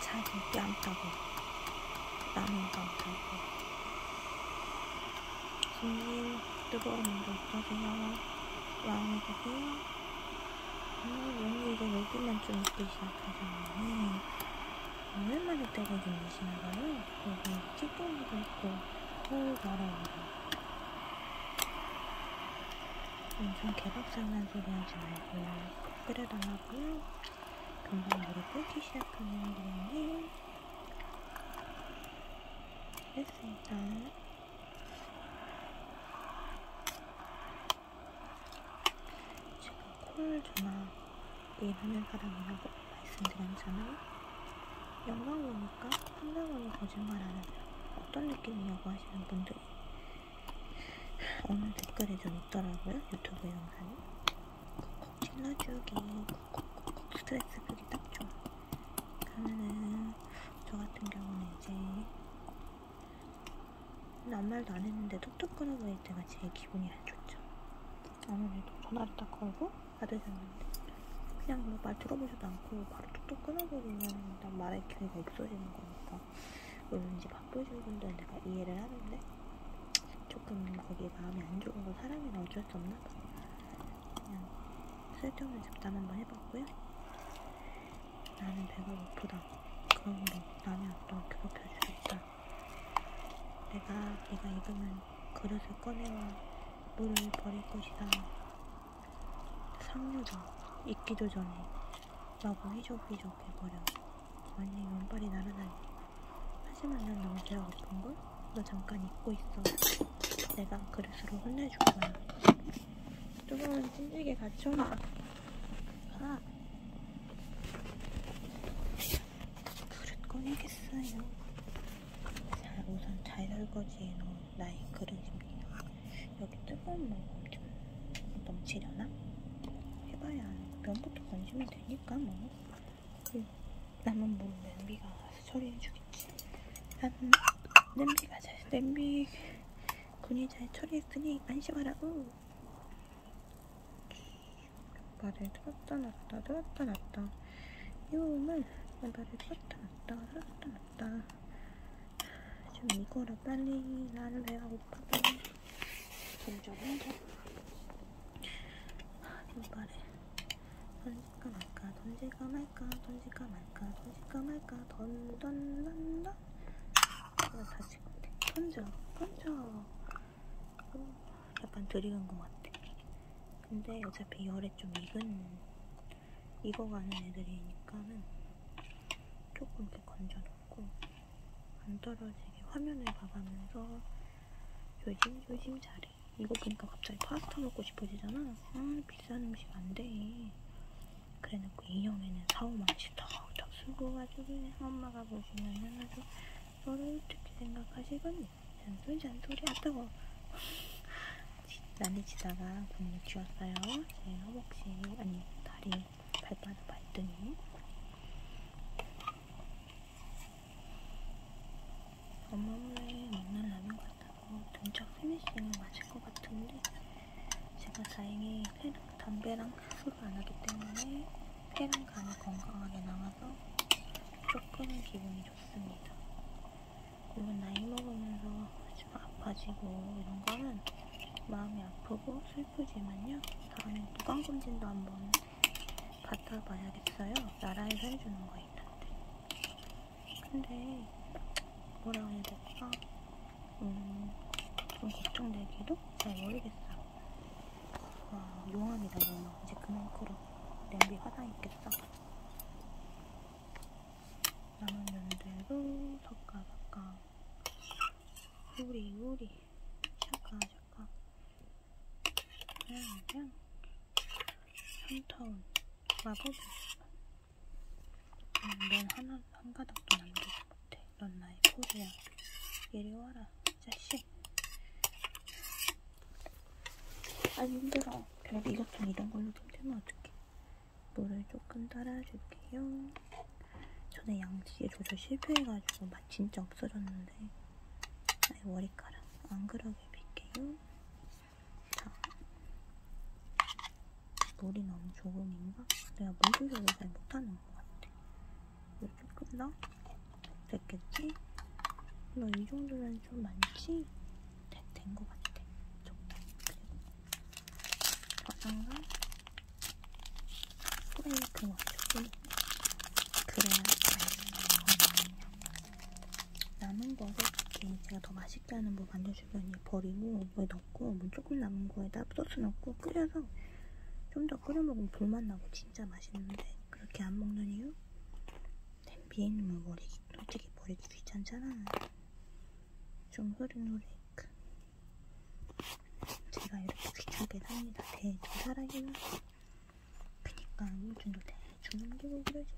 자기 뺨 따고 남은 뺨 따고 제일 뜨거운 물을 떠세요. 왕을 보세요. 몸이 이제 여기만 좀 있기 시작하셨는데 얼마나 뜨거운 물이시나봐요. 여기 찌꺼기도 있고 홀 날아오고 엄청 개박장난 소리 하지 말고 끓여달라고요. 금방 물이 끓기 시작하는 건데 했습니다. 제가 콜 전화 일하는 사람이라고 말씀드렸잖아요. 영상 보니까 상당하게 거짓말하는 어떤 느낌이냐고 하시는 분들이 오늘 댓글에 좀 있더라고요. 유튜브 영상에. 찔러주기 콕콕콕콕 스트레스 풀이 딱 좋아. 그러면은 저 같은 경우는 이제 나 아무 말도 안 했는데 뚝뚝 끊어버릴 때가 제일 기분이 안 좋죠. 아무래도 전화를 딱 걸고 받으셨는데 그냥 뭐 말 들어보지도 않고 바로 뚝뚝 끊어버리면 난 말할 기회가 없어지는 거니까 물론 이제 바쁘신 분들 내가 이해를 하는데 조금 거기에 마음이 안 좋은 건 사람이나 어쩔 수 없나 봐요. 그냥 쓸데없는 잡담 한번 해봤고요. 나는 배가 고프다. 그런거 남의 앞도 괴롭혀줄 수 있다. 내가 네가 입으면 그릇을 꺼내와 물을 버릴 것이다. 상류다. 익기도 전에 라고 휘적휘적 해버려. 완전 연발이 날아다니. 하지만 난 너무 배가 고픈걸? 너 잠깐 잊고 있어. 내가 그릇으로 혼내줄 거야. 조금은 찐득게 같이 오나? 아. 그릇 꺼내겠어요. 자, 우선 잘 설거지해놓은 나의 그릇입니다. 여기 뜨거운 물좀 넘치려나? 해봐야 면부터 건지면 되니까 뭐. 그, 남은 몸 뭐 냄비가 알아서 처리해주겠지. 난 냄비가 잘, 냄비 군이 잘 처리했으니 안심하라고. 말을 들었다 놨다 들었다 놨다. 이 몸을 말을 들었다 놨다 들었다 놨다. 좀 이거라 빨리 나는 배가 고파서 점점 해줘. 이발에. 던질까 말까 던질까 말까 던질까 말까 던질까 말까 던던던던 이거 다시 던져 던져 오, 어, 약간 들이간 것 같아 근데 어차피 열에 좀 익은 익어가는 애들이니까는 조금 이렇게 건져놓고 안 떨어지게 화면을 봐가면서 요즘 요즘 잘해. 이거 보니까 갑자기 파스타 먹고 싶어지잖아. 아 비싼 음식 안 돼. 그래놓고 인형에는 사오만씩 턱턱 쓰고 가지고 엄마가 보시면은 아주 너를 어떻게 생각하시겠니? 잔소리 잔소리 하다고. 난리치다가 분이 쥐었어요. 제 허벅지 아니 다리 발바닥 발등이. 엄마몰래 먹는 라면 같다고 등짝 피니싱을 마실 것 같은데 제가 다행히 회랑 담배랑 술을 안 하기 때문에 폐랑 간이 건강하게 남아서 조금은 기분이 좋습니다. 물론 나이 먹으면서 좀 아파지고 이런 거는 마음이 아프고 슬프지만요. 다음에 구강검진도 한번 갖다 봐야겠어요. 나라에서 해주는 거 있던데. 근데 뭐라 해야 될까? 음, 좀 걱정되기도 잘 모르겠어. 와, 아, 용암이다, 용암. 이제 그만 끓어. 냄비 화상 있겠어. 남은 연대로 섞어볼까. 우리, 우리. 샤가죠. 약간 그냥 그냥 한타운 마법이 음, 넌 하나 한 가닥도 남기지 못해. 넌 나의 포즈야. 이리 와라, 자식. 아 힘들어. 그래도 이것 좀 이런 걸로 힘들면 어떡해. 물을 조금 따라줄게요. 전에 양치 조절 실패해가지고 맛 진짜 없어졌는데 나의 머리카락 안 그러게 빌게요. 자, 물이 너무 조금인가? 내가 물 조절을 잘 못하는 것 같아. 물 조금 더? 됐겠지? 너 이 정도면 좀 많지? 된 것 같아. 적당히. 그리고 저장과 소레이크 와사비 그래야 맛있어요. 남은 거를 이렇게 제가 더 맛있게 하는 법 알려주더니 버리고 여기 넣고 물 뭐 조금 남은 거에다 소스 넣고 끓여서 좀 더 끓여 먹으면 불맛 나고 진짜 맛있는데 그렇게 안 먹는 이유? 냄비에 있는 물 버리기 솔직히 버리기 귀찮잖아. 좀 흐린 노래. 제가 이렇게 귀찮게 삽니다. 대충 살아기는. 그니까 요즘도 대충 넘기고 그러지.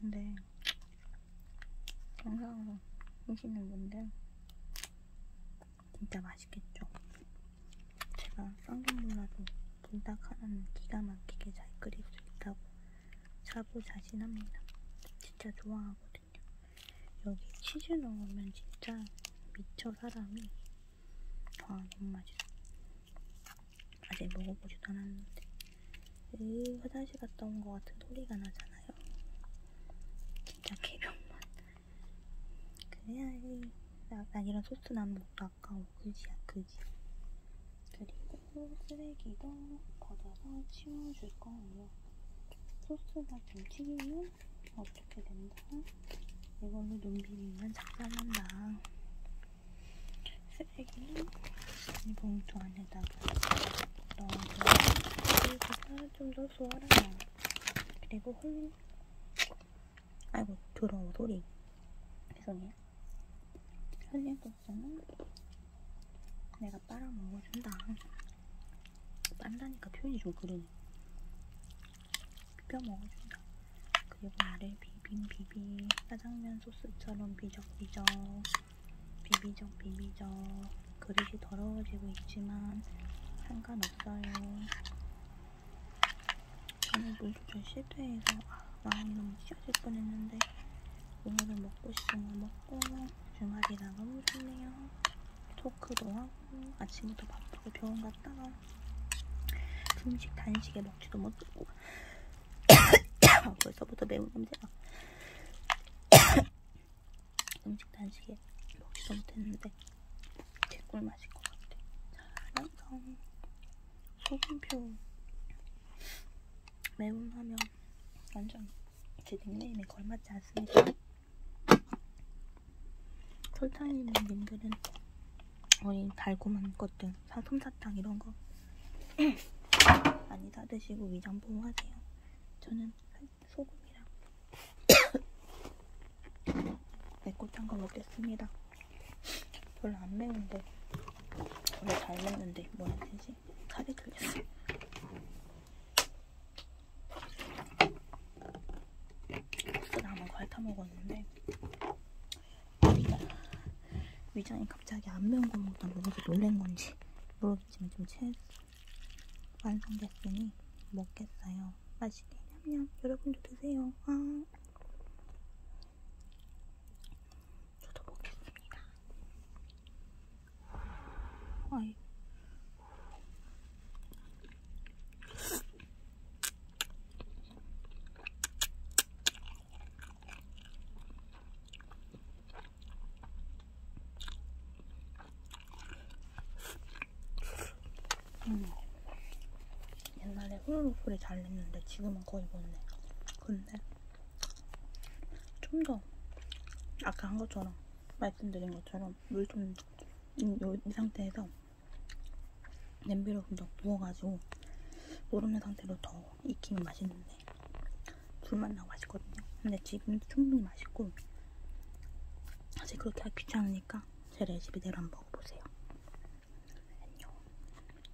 근데 영상으로 보시는 분들 진짜 맛있겠죠? 제가 쌍둥이라도 불닭 하나는 기가 막히게 잘 끓일 수 있다고 자부 자신합니다. 진짜 좋아하거든요. 맛있거든요. 네. 여기 치즈 넣으면 진짜 미쳐 사람이 와 아, 너무 맛있어. 아직 먹어보지도 않았는데 으 화장실 갔다 온 것 같은 소리가 나잖아요. 진짜 개병맛. 그래야지. 나, 나 이런 소스는 안 먹고 아까워. 그지야 그지. 그리고 또 쓰레기도 걷어서 치워줄 거예요. 소스나 김치기는 어떻게 된다? 이걸로 눈 비비면 작살난다. 쓰레기는 이 봉투 안에다가 넣어서 그리고 좀더 수월하네요. 그리고 홀린 아이고 더러운 소리 죄송해요. 흘리고 없으면 음. 내가 빨아먹어준다. 빤다니까 표현이 좀 그러네. 비벼 먹어준다. 그리고 아래 비빔 비비 짜장면 소스처럼 비적비적 비비적 비비적 그릇이 더러워지고 있지만 상관없어요. 오늘 물조절 실패해서 아, 마음이 너무 찢어질 뻔했는데 오늘은 먹고 싶은 걸 먹고 있고 주말이라 너무 좋네요. 토크도 하고 아침부터 바쁘게 병원 갔다가 중식 단식에 먹지도 못하고 벌써부터 매운 냄새가 음식 단식에 먹지도 못했는데 개꿀 맛일 것 같아. 자랑성 소금표 매운 라면 완전 제 닉네임에 걸맞지 않습니다. 설탕 있는 님들은 우리 달고만 것들 솜사탕 이런 거 많이 사드시고 위장 보호하세요. 저는 소금이랑 매콤한 거 먹겠습니다. 별로 안 매운데 원래 잘 먹는데 뭐라 해야 되지? 다리 들렸어. 국수 남은 거 핥아 먹었는데 위장이 갑자기 안 매운 거 먹다 먹어서 놀란 건지 모르겠지만 좀 체했어. 완성됐으니 먹겠어요. 맛있게 냠냠 여러분도 드세요. 아. 저도 먹겠습니다. 아이. 음. 옛날에 홀로프리 잘 냈는데 지금은 거의 못 내. 근데 좀더 아까 한 것처럼 말씀드린 것처럼 물 좀 이 상태에서 냄비로 좀 더 부어가지고 노름의 상태로 더 익히면 맛있는데 불맛 나고 맛있거든요. 근데 지금도 충분히 맛있고 사실 그렇게 하기 귀찮으니까 제 레시피대로 한번 먹어보세요. 안녕.